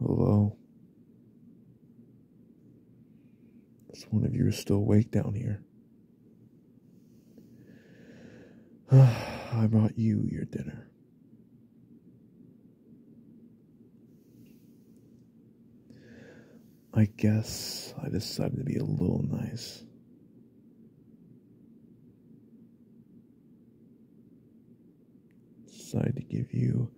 Hello. This one of you still awake down here. I brought you your dinner. I guess I decided to be a little nice. Decided to give you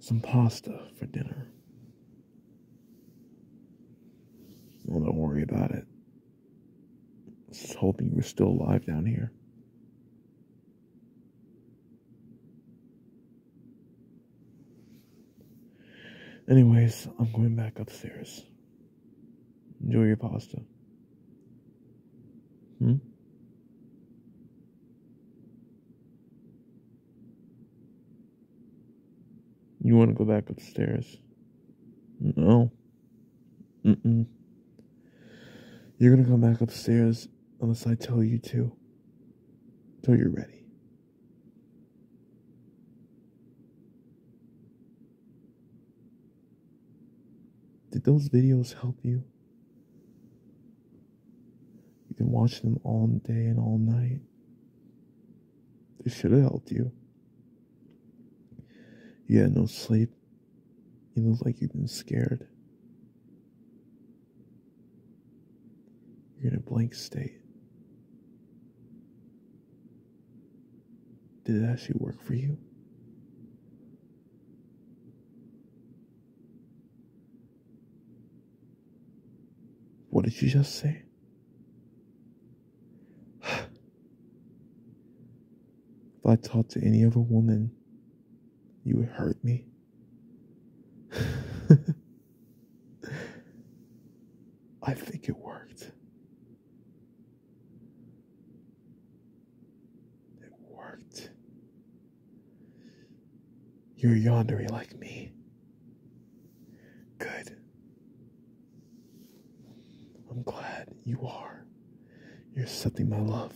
some pasta for dinner. don't worry about it. Just hoping you are still alive down here. Anyways, I'm going back upstairs. Enjoy your pasta. Hmm? You want to go back upstairs? No. Mm-mm. You're gonna come back upstairs unless I tell you to. Till you're ready. Did those videos help you? You can watch them all day and all night. They should have helped you. You had no sleep. You look like you've been scared. You're in a blank state. Did it actually work for you? What did you just say? If I talked to any other woman, you would hurt me. I think it worked. It worked. You're yondery like me. Good. I'm glad you are. You're something my love.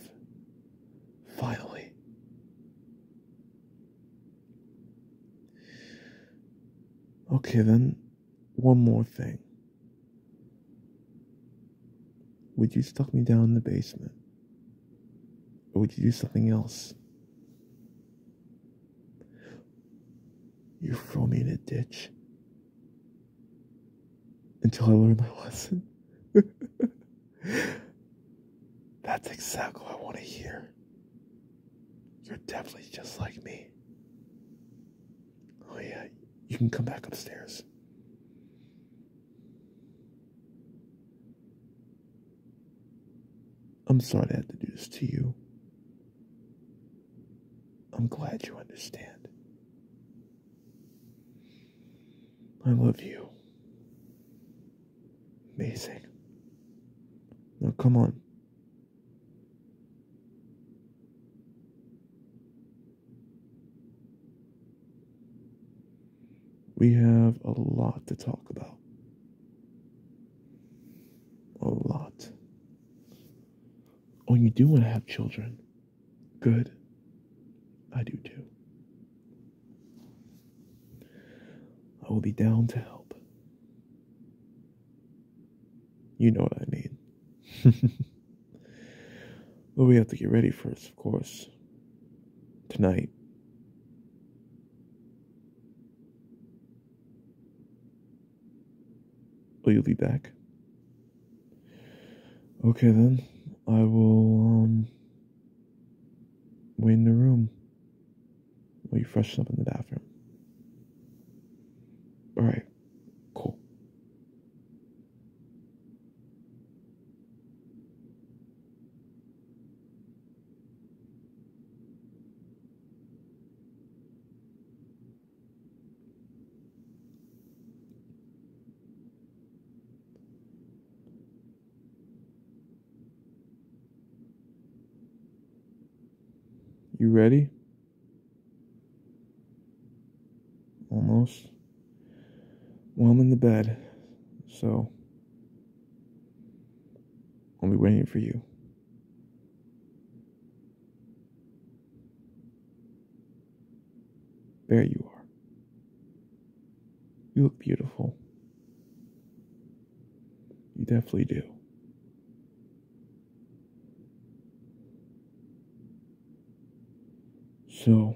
Finally. Okay, then, one more thing. Would you stuff me down in the basement? Or would you do something else? You throw me in a ditch until I learned my lesson. That's exactly what I want to hear. You're definitely just like me. Oh, yeah, you can come back upstairs. I'm sorry I had to do this to you. I'm glad you understand. I love you. Amazing. Now come on. We have a lot to talk about. A lot. Oh, you do want to have children. Good. I do too. I will be down to help. You know what I mean. but we have to get ready first, of course. Tonight. Will you be back? Okay then, I will um wait in the room while you freshen up in the bathroom. Alright, cool. You ready? Almost. Well, I'm in the bed, so I'll be waiting for you. There you are. You look beautiful. You definitely do. So,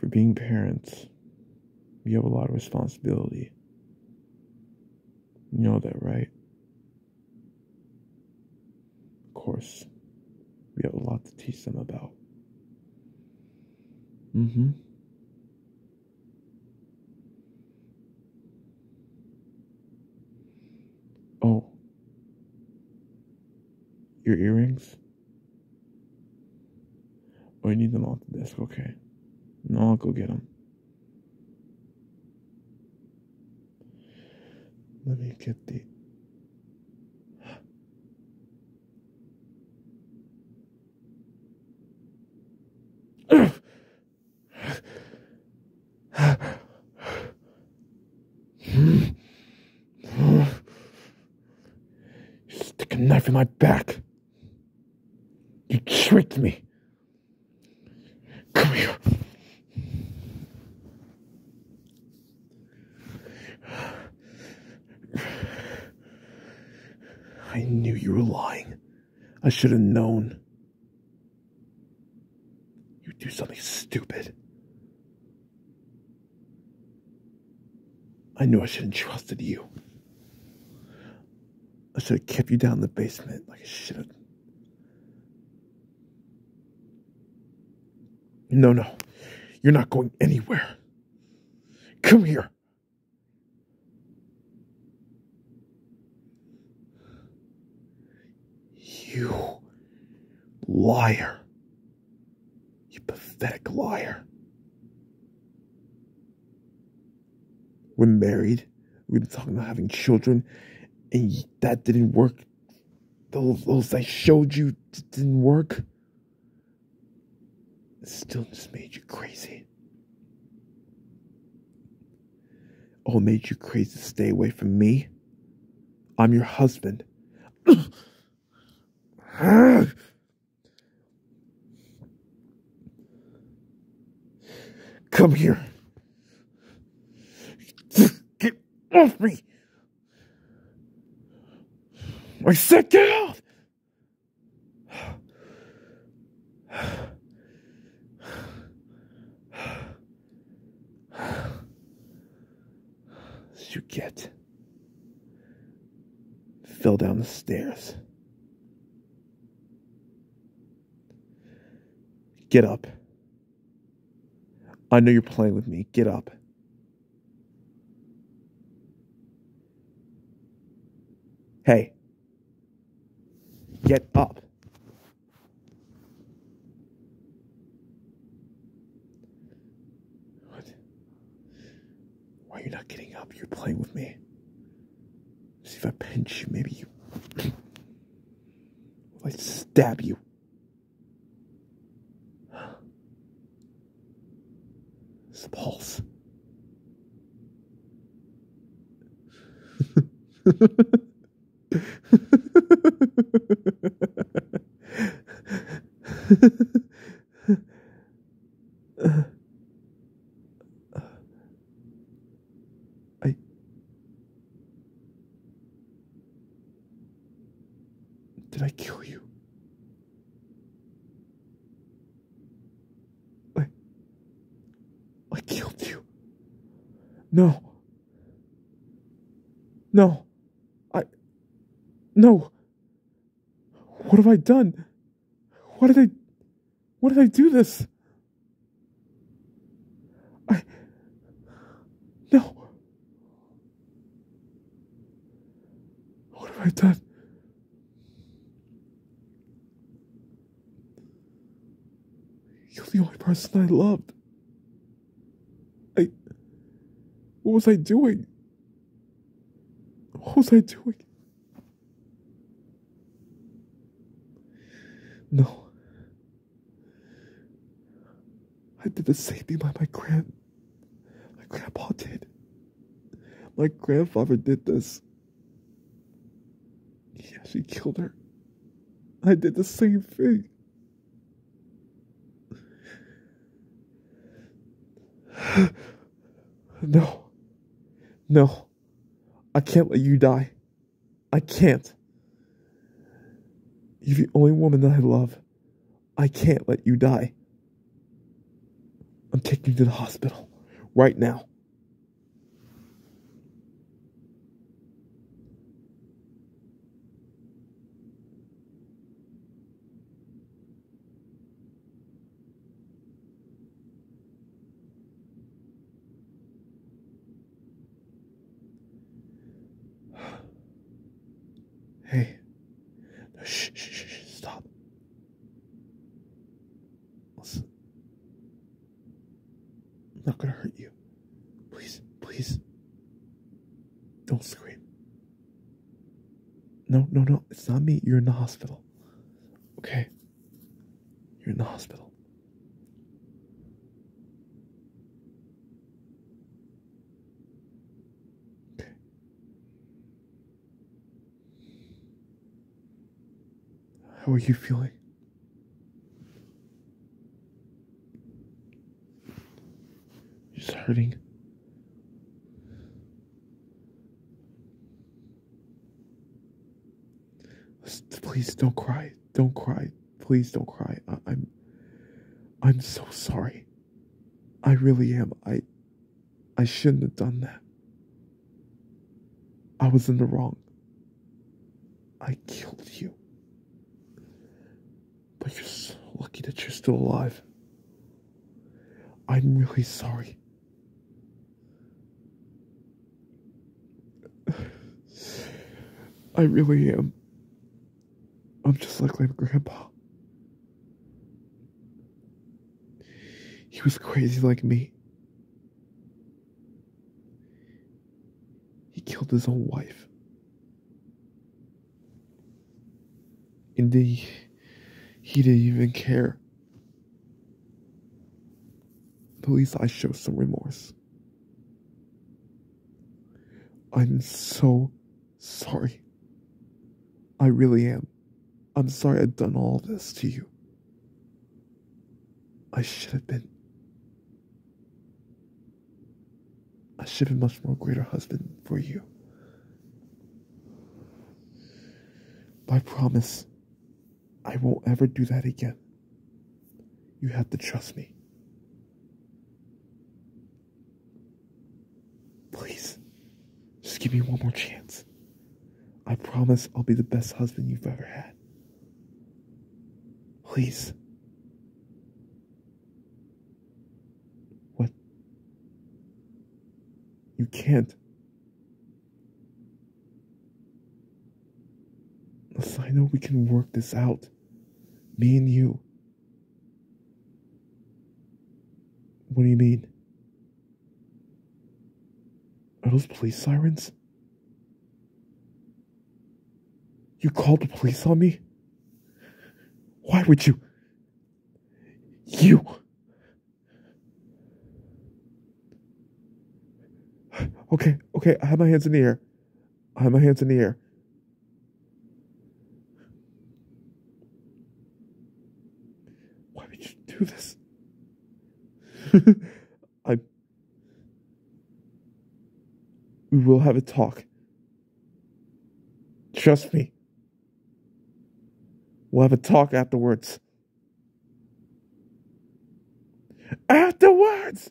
for being parents, you have a lot of responsibility. You know that, right? Of course, we have a lot to teach them about. Mm hmm. Oh. Your earrings? Oh, you need them off the desk. Okay. No, I'll go get them. Let me get the. Stick a knife in my back. You tricked me. Come here. I knew you were lying. I should have known. You would do something stupid. I knew I should have trusted you. I should have kept you down in the basement like I should have. No, no, you're not going anywhere. Come here. You liar. You pathetic liar. We're married. We were talking about having children, and that didn't work. Those, those I showed you didn't work. It still just made you crazy. Oh, made you crazy to stay away from me. I'm your husband. Come here. Get off me! I said get off! you get. Fell down the stairs. Get up. I know you're playing with me. Get up. Hey, get up. What? Why are you not getting up? You're playing with me. See if I pinch you, maybe you i stab you. His pulse. I. Did I kill you? I. I killed you. No. No. I. No. What have I done? Why did I. Why did I do this? I. No! What have I done? You're the only person I loved. I. What was I doing? What was I doing? No. I did the same thing my my grand my grandpa did. My grandfather did this. Yeah, she killed her. I did the same thing. no. No. I can't let you die. I can't. You're the only woman that I love. I can't let you die. I'm taking you to the hospital right now. Hey. shh, stop. I'm not gonna hurt you. Please, please. Don't scream. No, no, no. It's not me. You're in the hospital. Okay? You're in the hospital. How are you feeling? Just hurting. Please don't cry. Don't cry. Please don't cry. I, am I'm so sorry. I really am. I. I shouldn't have done that. I was in the wrong. I killed you. But you're so lucky that you're still alive. I'm really sorry. I really am. I'm just like my grandpa. He was crazy like me. He killed his own wife. And he, he didn't even care. At least I show some remorse. I'm so sorry. I really am. I'm sorry I've done all this to you. I should have been. I should have been much more greater husband for you. My promise I won't ever do that again. You have to trust me. Please, just give me one more chance. I promise I'll be the best husband you've ever had. Please. What? You can't. I know we can work this out. Me and you. What do you mean? Are those police sirens? You called the police on me? Why would you? You! Okay, okay, I have my hands in the air. I had my hands in the air. Why would you do this? I. We will have a talk. Trust me. We'll have a talk afterwards. Afterwards!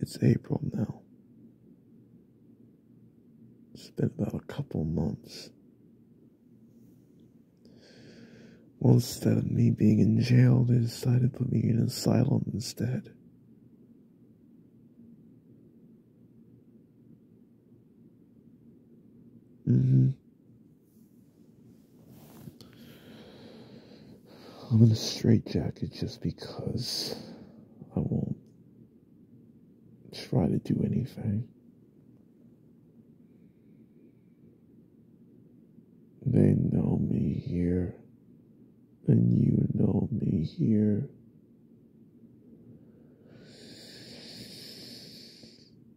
It's April now. It's been about a couple months. Well, instead of me being in jail, they decided to put me in asylum instead. hmm. I'm in a straitjacket just because I won't try to do anything. They know me here, and you know me here.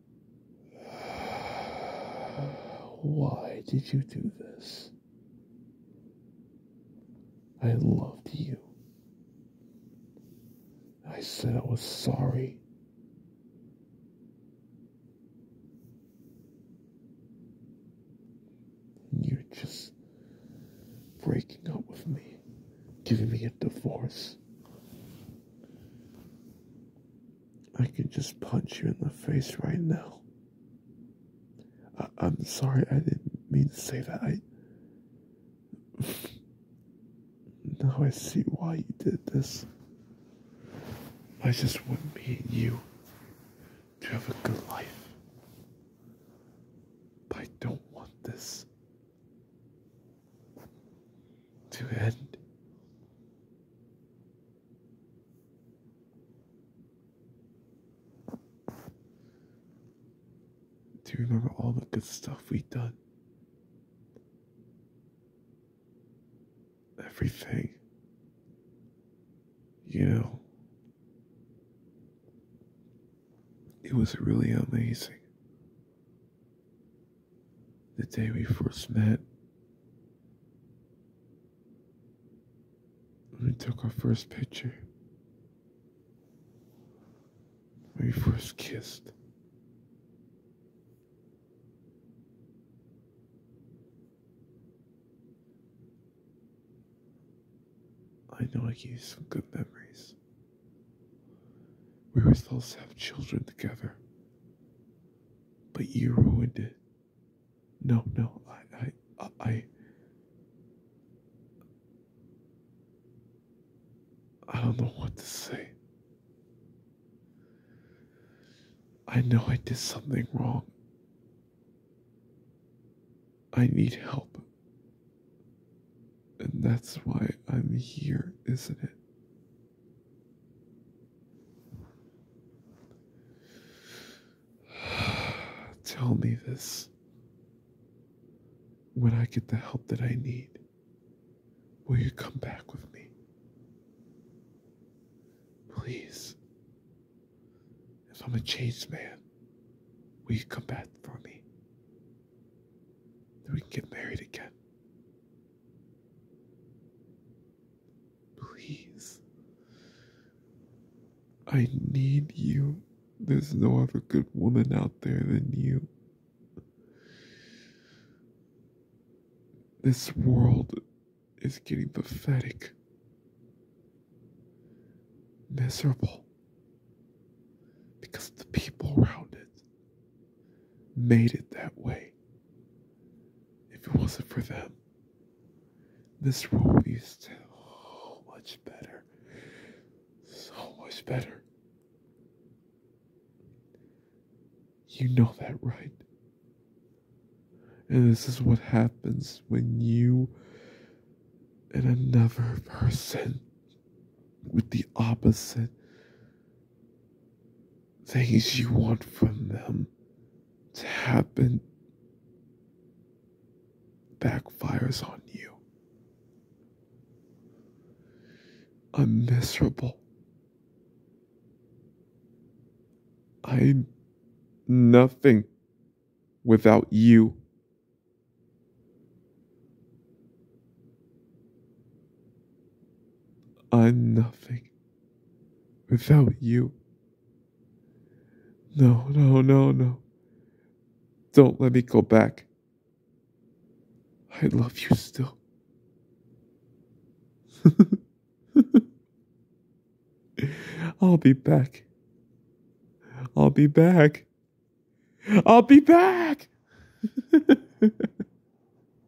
Why did you do this? I loved you. I said I was sorry. You're just breaking up with me, giving me a divorce. I can just punch you in the face right now. I am sorry, I didn't mean to say that. I. now I see why you did this. I just want me and you to have a good life. I don't want this to end. Do you remember all the good stuff we done? Everything. You know, it was really amazing the day we first met. We took our first picture. We first kissed. I know I gave you some good memories. We were supposed to have children together but you ruined it. No, no, I, I, I, I don't know what to say. I know I did something wrong. I need help. And that's why I'm here, isn't it? Tell me this. When I get the help that I need, will you come back with me? Please. If I'm a changed man, will you come back for me? Then we can get married again. Please. I need you. There's no other good woman out there than you. This world is getting pathetic, miserable, because of the people around it made it that way. If it wasn't for them, this world would be so much better. So much better. You know that, right? And this is what happens when you and another person with the opposite things you want from them to happen backfires on you. I'm miserable. I'm nothing without you. I'm nothing without you. No, no, no, no. Don't let me go back. I love you still. I'll be back. I'll be back. I'll be back.